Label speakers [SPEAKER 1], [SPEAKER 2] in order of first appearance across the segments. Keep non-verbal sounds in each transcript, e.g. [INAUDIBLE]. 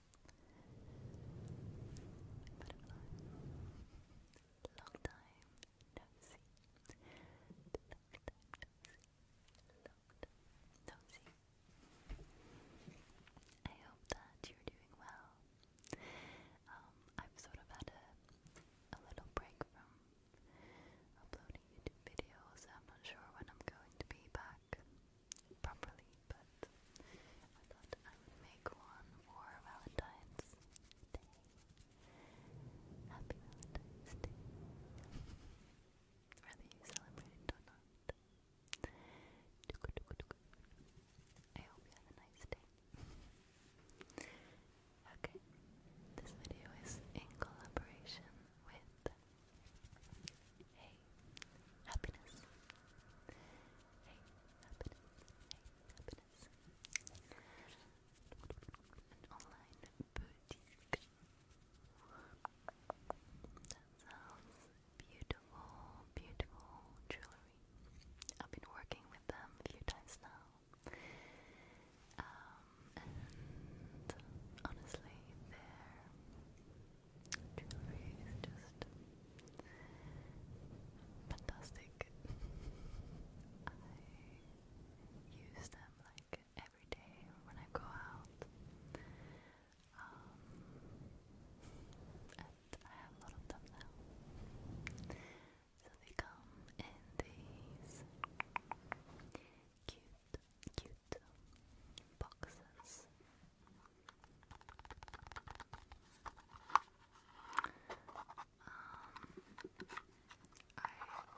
[SPEAKER 1] Long time no see. Long time no see. I hope that you're doing well. I've sort of had a, a little break from uploading YouTube videos. I'm not sure when I'm going to be back properly, but I thought I would make one for Valentine's Day. Happy Valentine's Day. Whether you celebrate or not. I hope you have a nice day. Okay, this video is in collaboration with Hey, happiness. Hey, happiness. Hey, happiness. An online boutique. That sounds beautiful, beautiful jewelry. I've been working with them a few times now. and honestly, they're jewelry is just fantastic. I use them like every day when I go out. Um, and I have a lot of them now. So they come in these cute, cute boxes I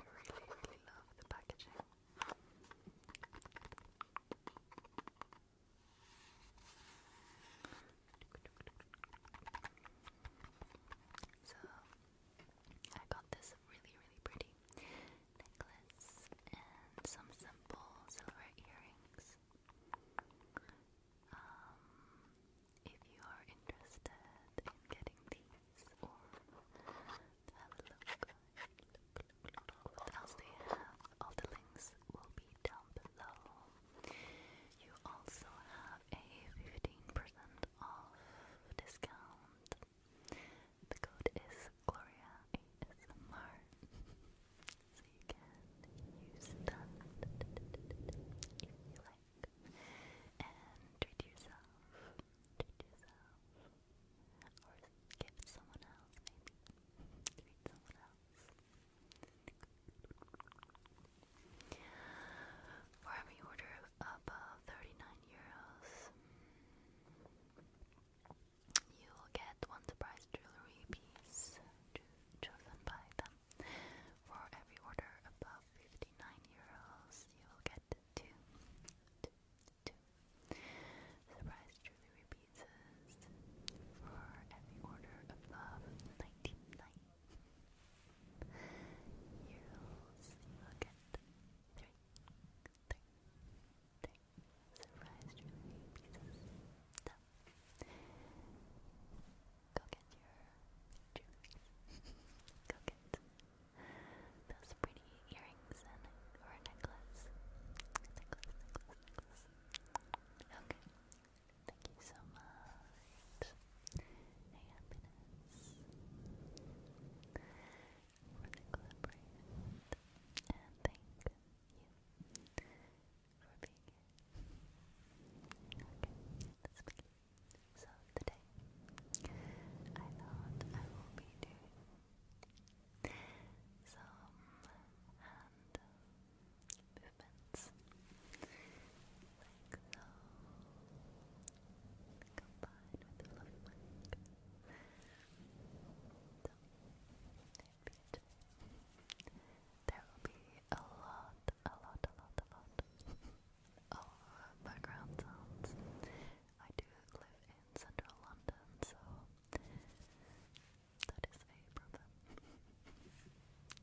[SPEAKER 1] really, really love the packaging. So I got this really, really pretty necklace and some simple silver earrings. if you are interested in getting these or have a look what else they have, all the links will be down below. You also have a 15% off discount the code is Gloria ASMR. so you can use that if you like. And treat yourself. Treat yourself. Or give someone else, maybe. Treat someone else. For every order above 39 euros, you will get one surprise jewelry piece chosen by them. For every order above 59 euros, you will get two, two, two surprise jewelry pieces. For every order above 99 euros, you will get three, three surprised you pieces. go get your jewelry. go get those pretty earrings or necklace. Necklace, necklace, necklace. Okay. Thank you so much. Hey, happiness for the collaboration and thank you for being here. Okay, let's begin. So today I thought I will be doing some hand movements like combined with the so, there will be a lot, a lot, a lot, a lot of background sounds. I do live in central London, so that is a problem. you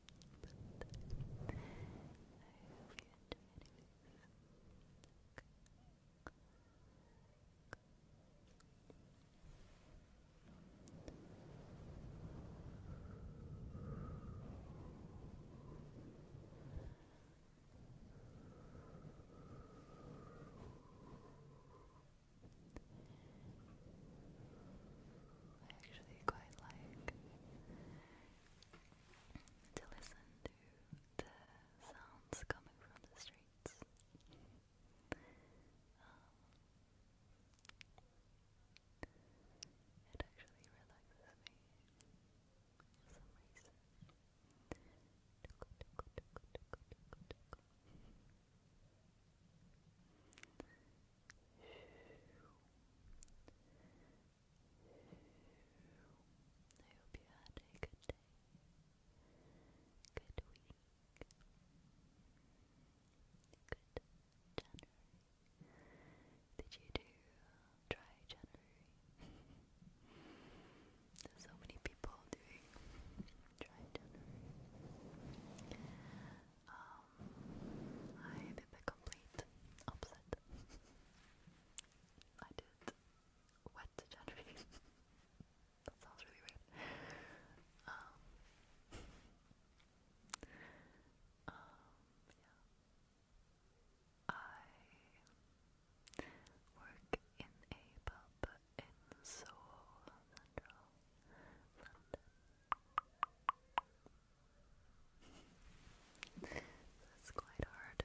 [SPEAKER 1] I actually quite like to listen to the sounds coming from the streets. Um, it actually relaxes me for some reason. I hope you had a good Thursday. Good week. Good January. Did you do dry January? so many people doing dry January. Um, I'm a bit complete I did. What to [LAUGHS] that sounds really weird. Um, um, I work in a pub in Seoul, Central London. It's quite hard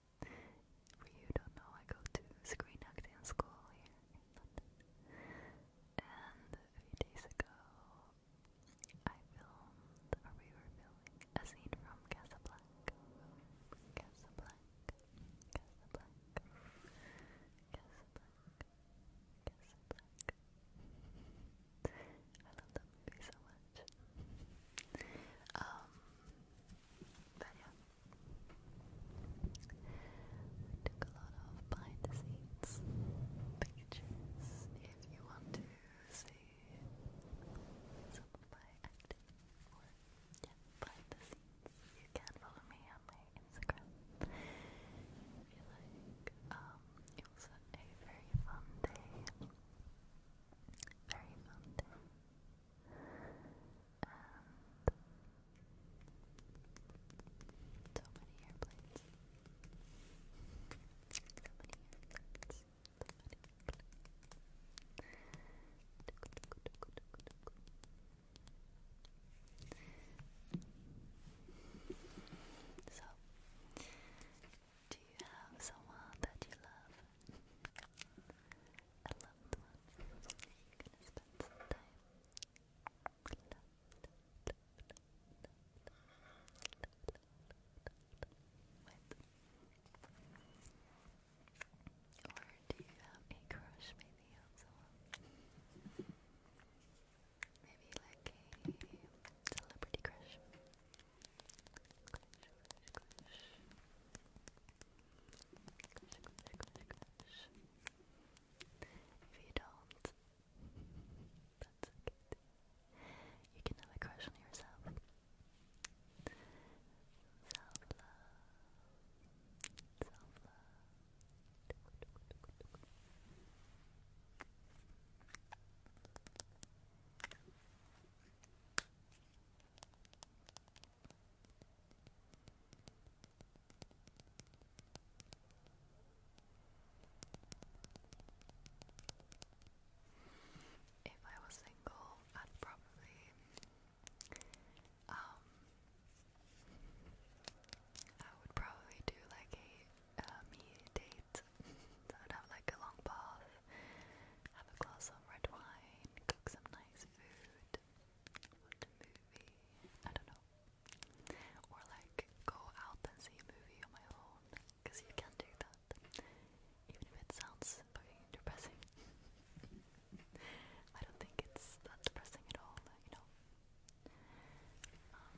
[SPEAKER 1] For you don't know, I go to screen acting school here in London. And a few days ago, I filmed, or we were filming, a scene from Casablanca. Casablanca, Casablanca, Casablanca, Casablanca. I love that movie so much. Um, but yeah. took a lot of behind the scenes pictures if you want to see some of my acting or yeah, behind the scenes. You can follow me on my Instagram if like. Um, it was a very fun day. Very fun day. And So many airplanes. So many airplanes. So do you have someone that you love a loved one. You're gonna spend some time. Love, love, love, love, love, love, love, with. Or do you have a crush maybe on someone? Maybe like a celebrity crush. If you don't, that's okay. You can have a crush on yourself. Self love. Self love. If I was single, I'd probably um I would probably do like a uh, me date so I'd have like a long bath, have a glass of red wine, cook some nice food, watch a movie, I don't know. Or like go out and see a movie on my own, because you can do that. Even if it sounds depressing. [LAUGHS] I don't think it's that depressing at all, you know. Um,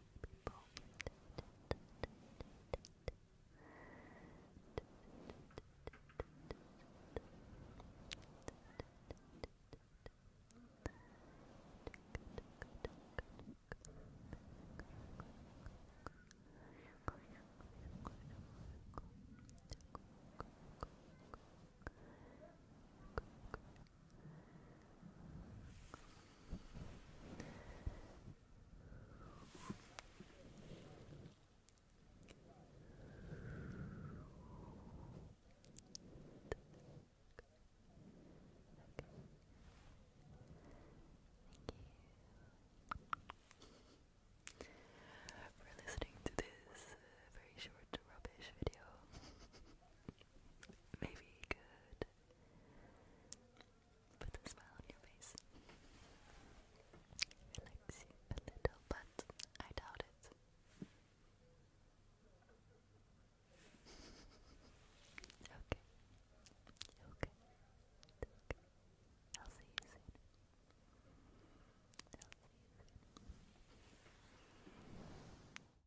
[SPEAKER 1] people for listening to this very short rubbish video. Maybe you put a smile on your face. Relax a little, but I doubt it. okay. Okay. Okay. I'll see you soon. I'll see you soon.